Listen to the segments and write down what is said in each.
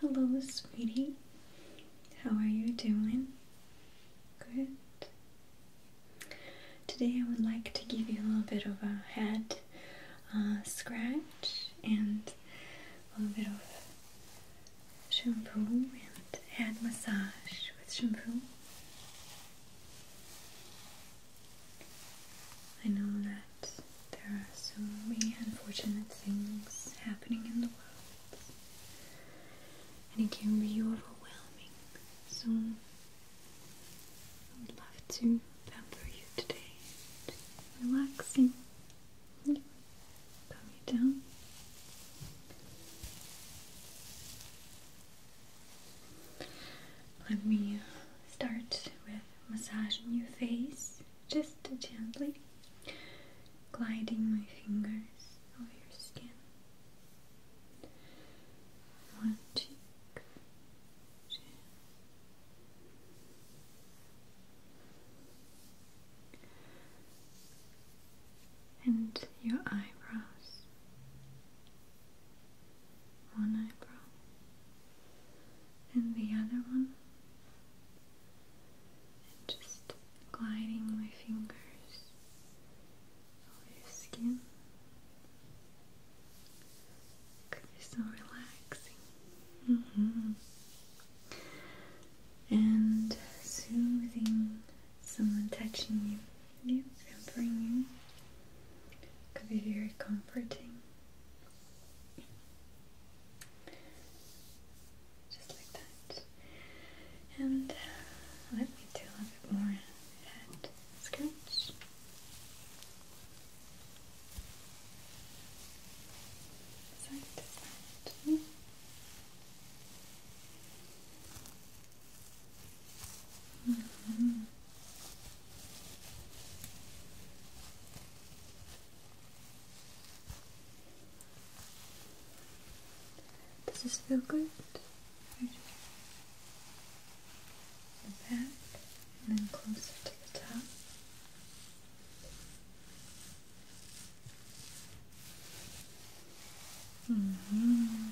Hello, sweetie. How are you doing? Good. Today, I would like to give you a little bit of a head uh, scratch and a little bit of shampoo and head massage with shampoo. I know that there are so many unfortunate things happening in the world, and it can be overwhelming. So, I would love to pamper you today, relaxing, calm you down. Let me uh, start with massaging your face just gently, gliding my fingers over your skin. One and your eyebrows. One eyebrow, and the other one, just gliding my fingers over your skin. could be so relaxing. Mm-hmm. And soothing someone touching you, yeah, pampering you. could be very comforting. Just like that. And uh, let me do a bit more head scratch. Side to side. -hmm. Does this feel good? Right. The and then closer to the top. -hmm.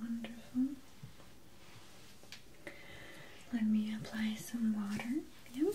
Wonderful. Let me apply some water. Yep.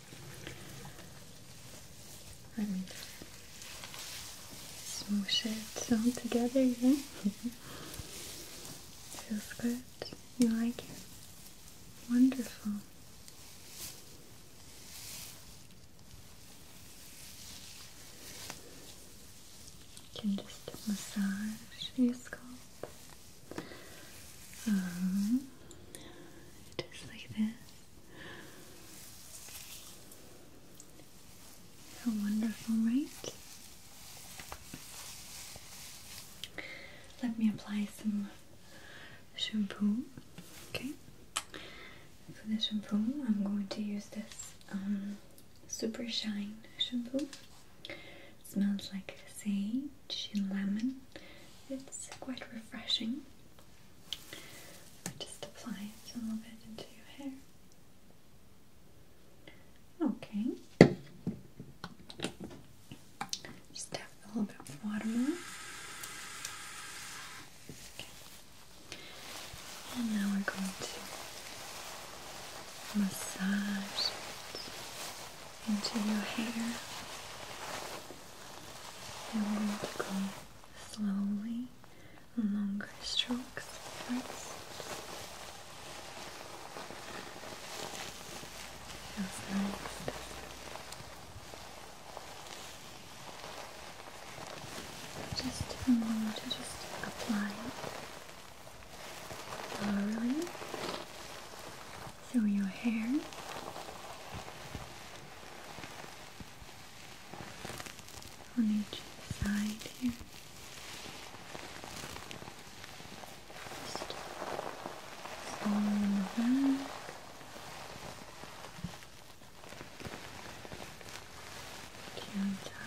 and smoosh it all together, yeah? Feels good? You like it? Wonderful. You can just massage your scalp just um, like this. How wonderful, right? Let me apply some shampoo. Okay. For the shampoo, I'm going to use this um, Super Shine shampoo. It smells like sage and lemon. It's quite refreshing. i just apply a little bit into your hair. Okay. Just tap a little bit more. And now we're going to massage it into your hair and we're going to go slowly, longer strokes That's nice just a am going to just apply it thoroughly so your hair. On each side here. Just slowly in the back. Gentle.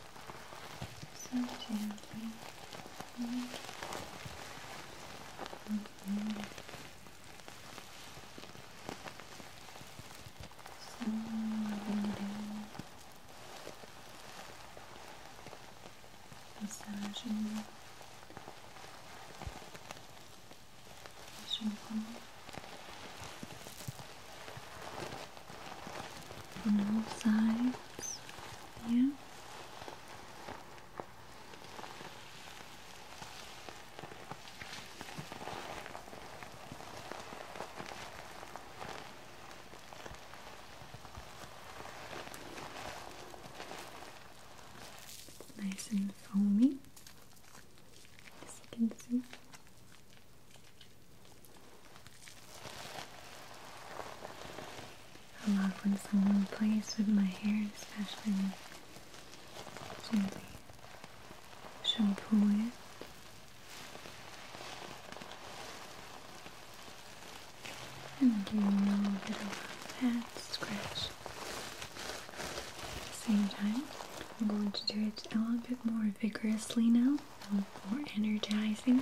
So gently. Mm -hmm. So down. Massaging your on all sides yeah Nice and foamy, as you can see. I love when someone plays with my hair, especially gently shampoo it. And give a little bit of that scratch. At the same time, I'm going to do it a little bit more vigorously now a little more energizing.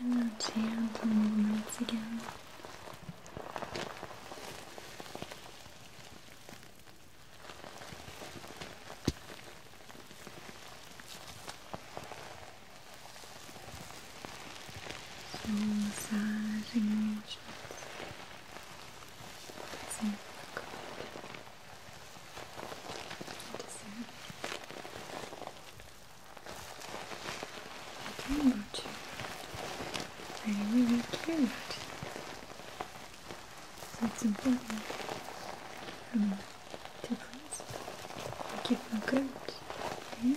And now gentle movements again. So massaging your chest. It's I care about you. I really care about you. So it's important for me to please make you feel good. Yeah?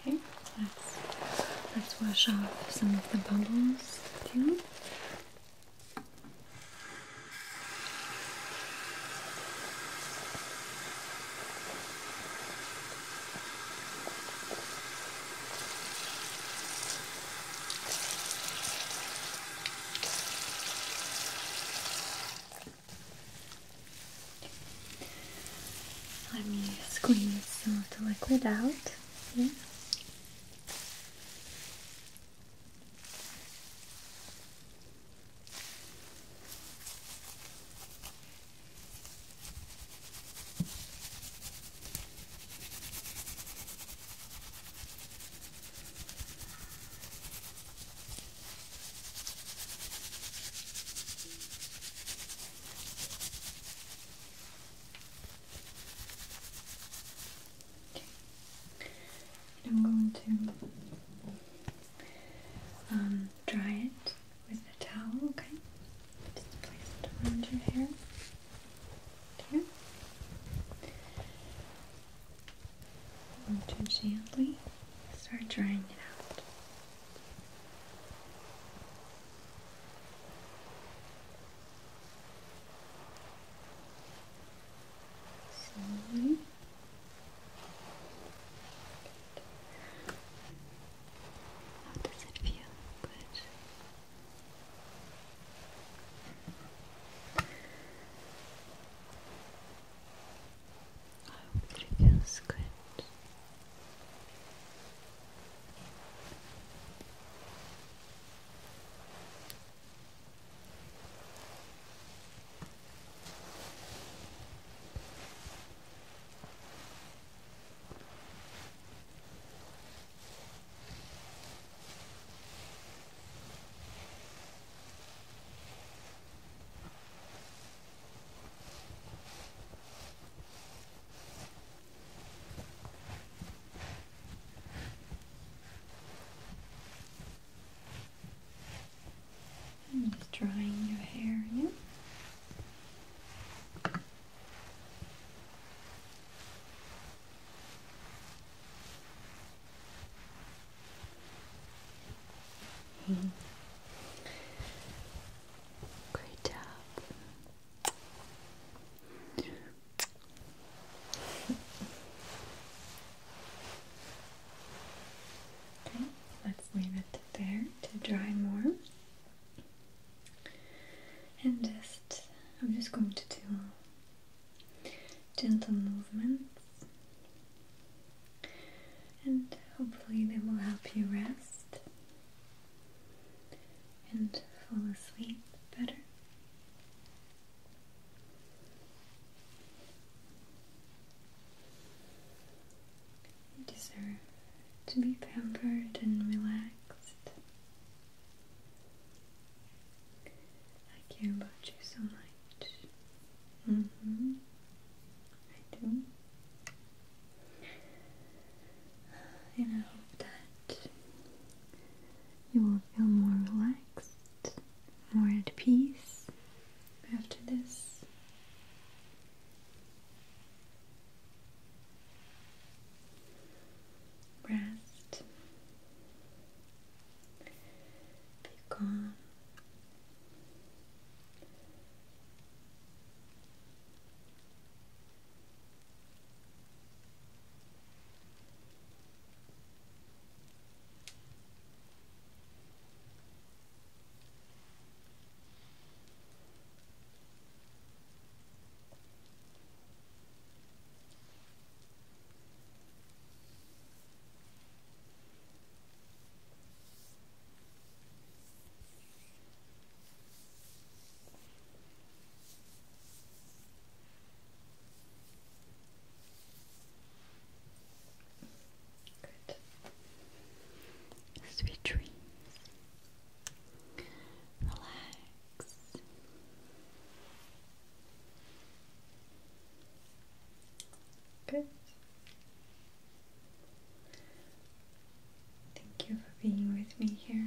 Okay, let's, let's wash off some of the bubbles too. Let me squeeze some of the liquid out here. I'm going to um, dry it with a towel, okay? Just place it around your hair. Here. And to gently start drying it out. Slowly. How does it feel? Good. I hope it feels Good. I'm just drying your hair, yeah. Great job. Okay, let's leave it there to dry more and just I'm just going to do gentle movements and hopefully they will help you rest and fall asleep better. You deserve to be pampered and relaxed. I care about you so much. Mm-hmm. I do. And I hope that you will feel more relaxed, more at peace after this breast become Good. Sweet dreams. Relax. Good. Thank you for being with me here.